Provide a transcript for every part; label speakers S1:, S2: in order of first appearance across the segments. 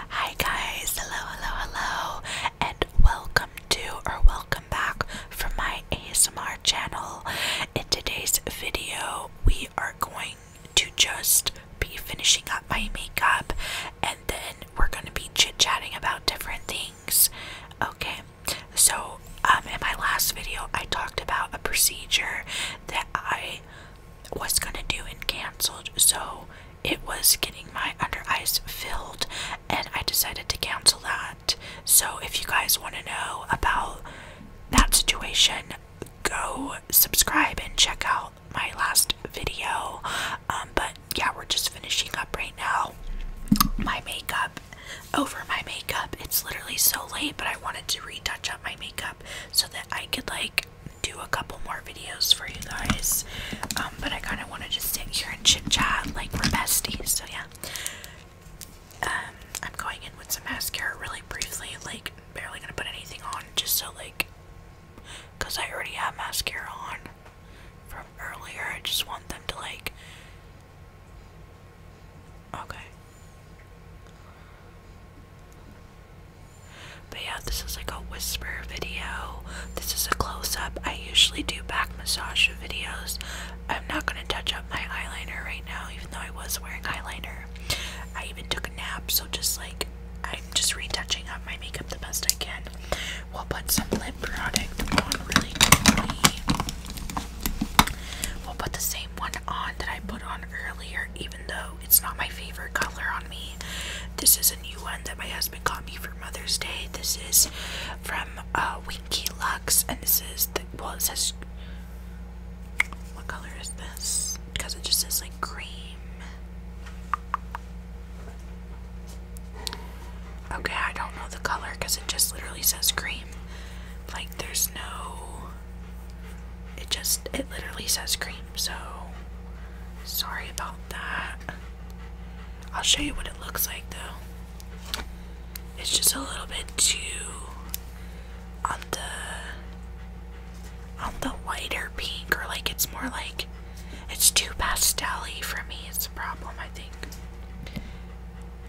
S1: Hi guys, hello, hello, hello, and welcome to or welcome back from my ASMR channel. In today's video, we are going to just be finishing up my makeup and then we're going to be chit chatting about different things. Okay, so um, in my last video, I talked about a procedure that I was going to do and canceled, so it was getting my under eyes filled, and I decided to cancel that. So, if you guys want to know about that situation, go subscribe and check out my last video. Um, but yeah, we're just finishing up right now. My makeup over my makeup, it's literally so late, but I wanted to retouch up my makeup so that I could like do a couple more videos for you guys. Um, but I kind of wanted to sit here and chit chat like we're besties. So yeah. Um, I'm going in with some mascara really briefly. Like barely gonna put anything on, just so like, cause I already have mascara on from earlier. I just want them to like. Okay. But yeah, this is like a whisper video. This is a close up. I usually do back massage videos. I'm not gonna touch up my eyeliner right now, even though I was wearing eyeliner. I even took a nap, so just like I'm just retouching up my makeup the best I can. We'll put some lip product on really quickly. We'll put the same one on that I put on earlier, even though it's not my favorite color on me. This is a new one that my husband got me for Mother's Day. This is from uh, Winky Lux, and this is the well, it says what color is this? Because it just says like cream. Okay, I don't know the color because it just literally says cream. Like, there's no. It just. It literally says cream so sorry about that. I'll show you what it looks like though. It's just a little bit too on the on the whiter pink or like it's more like it's too pastelly for me It's a problem I think.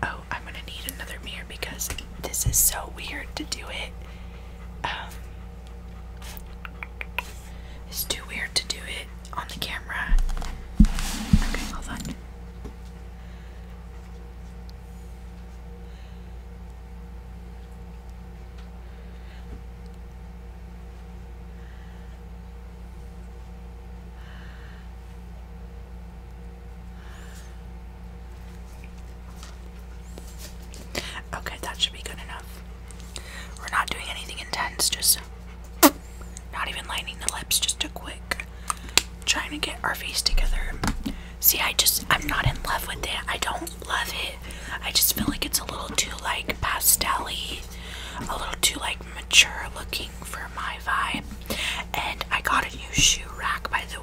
S1: Oh, I'm gonna need another mirror because this is so weird to do it. Um, it's too weird to do it on the camera. Okay, hold on. Okay, that should be good enough. We're not doing anything intense, just not even lining the lips, just a quick trying to get our face together. See, I just, I'm not in love with it. I don't love it. I just feel like it's a little too, like, pastelly, a little too, like, mature looking for my vibe. And I got a new shoe rack by the way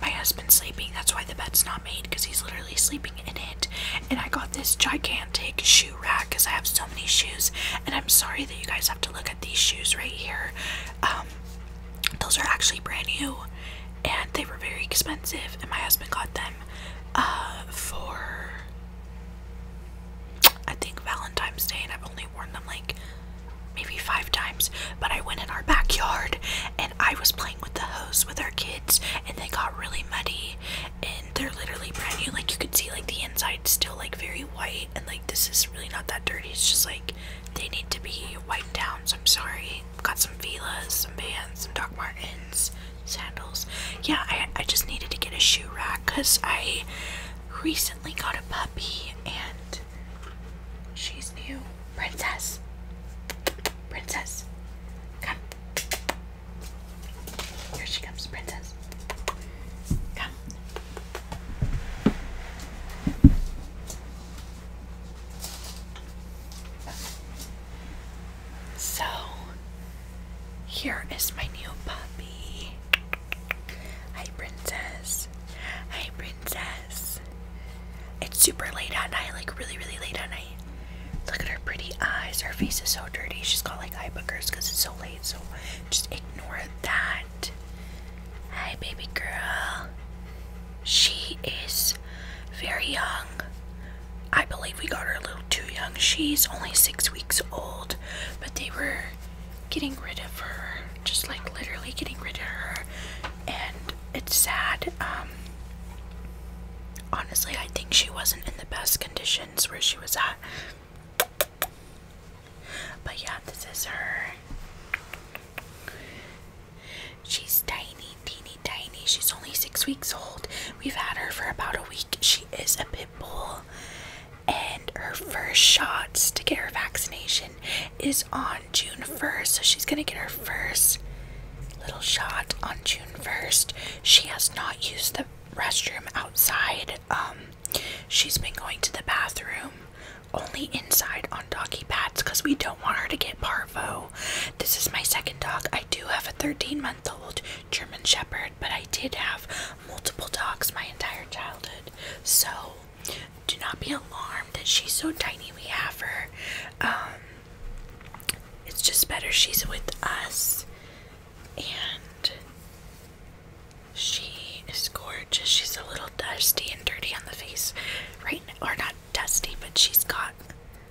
S1: my husband's sleeping. That's why the bed's not made because he's literally sleeping in it. And I got this gigantic shoe rack because I have so many shoes. And I'm sorry that you guys have to look at these shoes right here. Um, those are actually brand new and they were very expensive. And my husband got them uh, for I think Valentine's Day, and I've only worn them like maybe five times, but I went in our backyard and I was playing with the hose with our kids and they got really muddy and they're literally brand new. Like you could see like the inside still like very white and like this is really not that dirty. It's just like they need to be wiped down. So I'm sorry. Got some Fila's, some Vans, some Doc Martens, sandals. Yeah, I, I just needed to get a shoe rack because I recently got a puppy and She's new. Princess. Princess. Come. Here she comes, Princess. Come. So, here is my new puppy. Hi, Princess princess. princess. It's super late at night, like really, really late at night. Look at her pretty eyes. Her face is so dirty. She's got like eye boogers because it's so late. So just ignore that. Hi, baby girl. She is very young. I believe we got her a little too young. She's only six weeks old, but they were getting rid of her, just like literally getting rid of her, and it's sad. Um, honestly, I think she wasn't in the best conditions where she was at. But yeah, this is her. She's tiny, teeny, tiny. She's only six weeks old. We've had her for about a week. She is a pit bull. And her first shots to get her vaccination is on June 1st, so she's gonna get her first little shot on June 1st. She has not used the restroom outside. Um, she's been going to the bathroom only inside on doggy pads because we don't want her to get parvo. This is my second dog. I do have a 13 month old German Shepherd, but I did have multiple dogs my entire childhood. So do not be alarmed that she's so tiny. We have her. Um, it's just better she's with us. And she is gorgeous. She's a little dusty and dirty on the face right Or not dusty, but she's got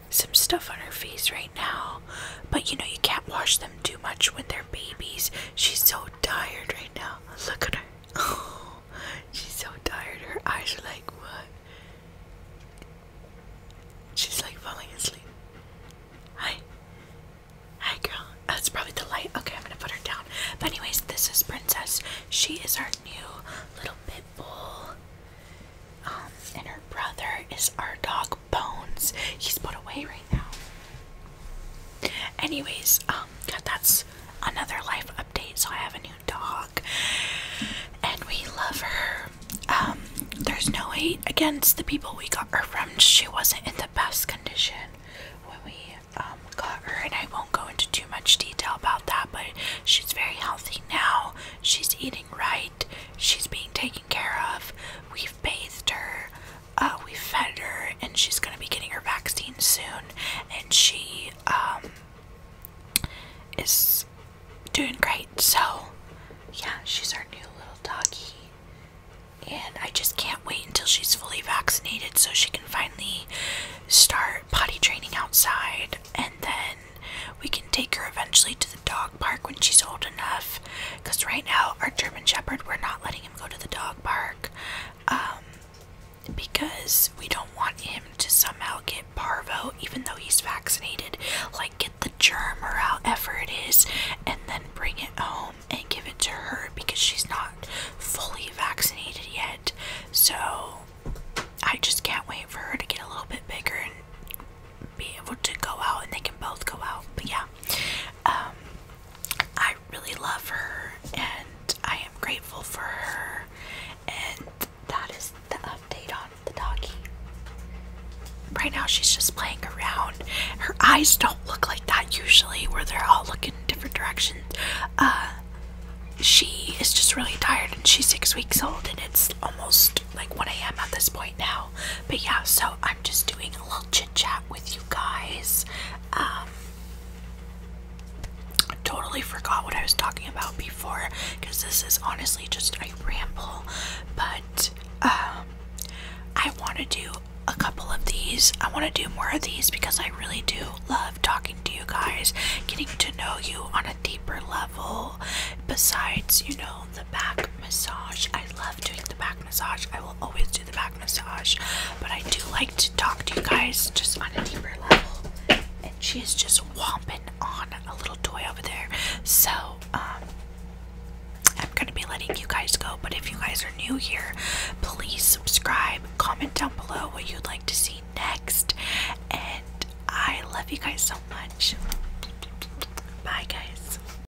S1: some stuff on her face right now. But you know, you can't wash them too much when they're babies. She's so tired right now. Look at her. Oh, she's so tired. Her eyes are like, what? She's like falling asleep. Hi. Hi, girl. That's probably the light. Okay, I'm gonna put her down. But, anyways, this is Princess. She is our new little pit bull. Um, and her brother is our dog Bones. He's put away right now. Anyways, um, that's another life update. So I have a new dog, and we love her. Um, there's no hate against the people we got her from. She wasn't in the best condition when we um got her, and I won't go into too much detail about that. But she's very healthy now. She's eating right. She's being taken care of. We've bathed her. Uh, we fed her and she's gonna be getting her vaccine soon and she um, is doing great so yeah she's our new little doggy and I just can't wait until she's fully vaccinated so she can finally start potty training outside and then we can take her eventually to the dog park when she's old enough because right now our German Shepherd we're not letting him go to the dog park um, because we don't want him to somehow get parvo, even though he's vaccinated. Like, get the germ or however it is, and then bring it home and give it to her because she's not fully vaccinated yet. So, I just can't wait for her to get a little bit bigger and be able to go out and they can both go out. But yeah, um, I really love her and I am grateful for her. And that is the update on the doggy. Right now, she's just playing around. Her eyes don't look like that usually, where they're all looking in different directions. Uh, she is just really tired and she's six weeks old, and it's almost like 1 a.m. at this point now. But yeah, so I'm just doing a little chat with you guys. I um, totally forgot what I was talking about before because this is honestly just a ramble, but um, I want to do a couple of these. I want to do more of these because I really do love talking to you guys, getting to know you on a deeper level, besides, you know, the back massage. I love doing the back massage. I will always do the back massage, but I do like to talk to you guys just on a deeper level. And she is just whumping on a little toy over there. So, um, I'm going to be letting you guys go, but if you guys are new here, please subscribe, comment down below what you'd like to see next, and I love you guys so much. Bye, guys.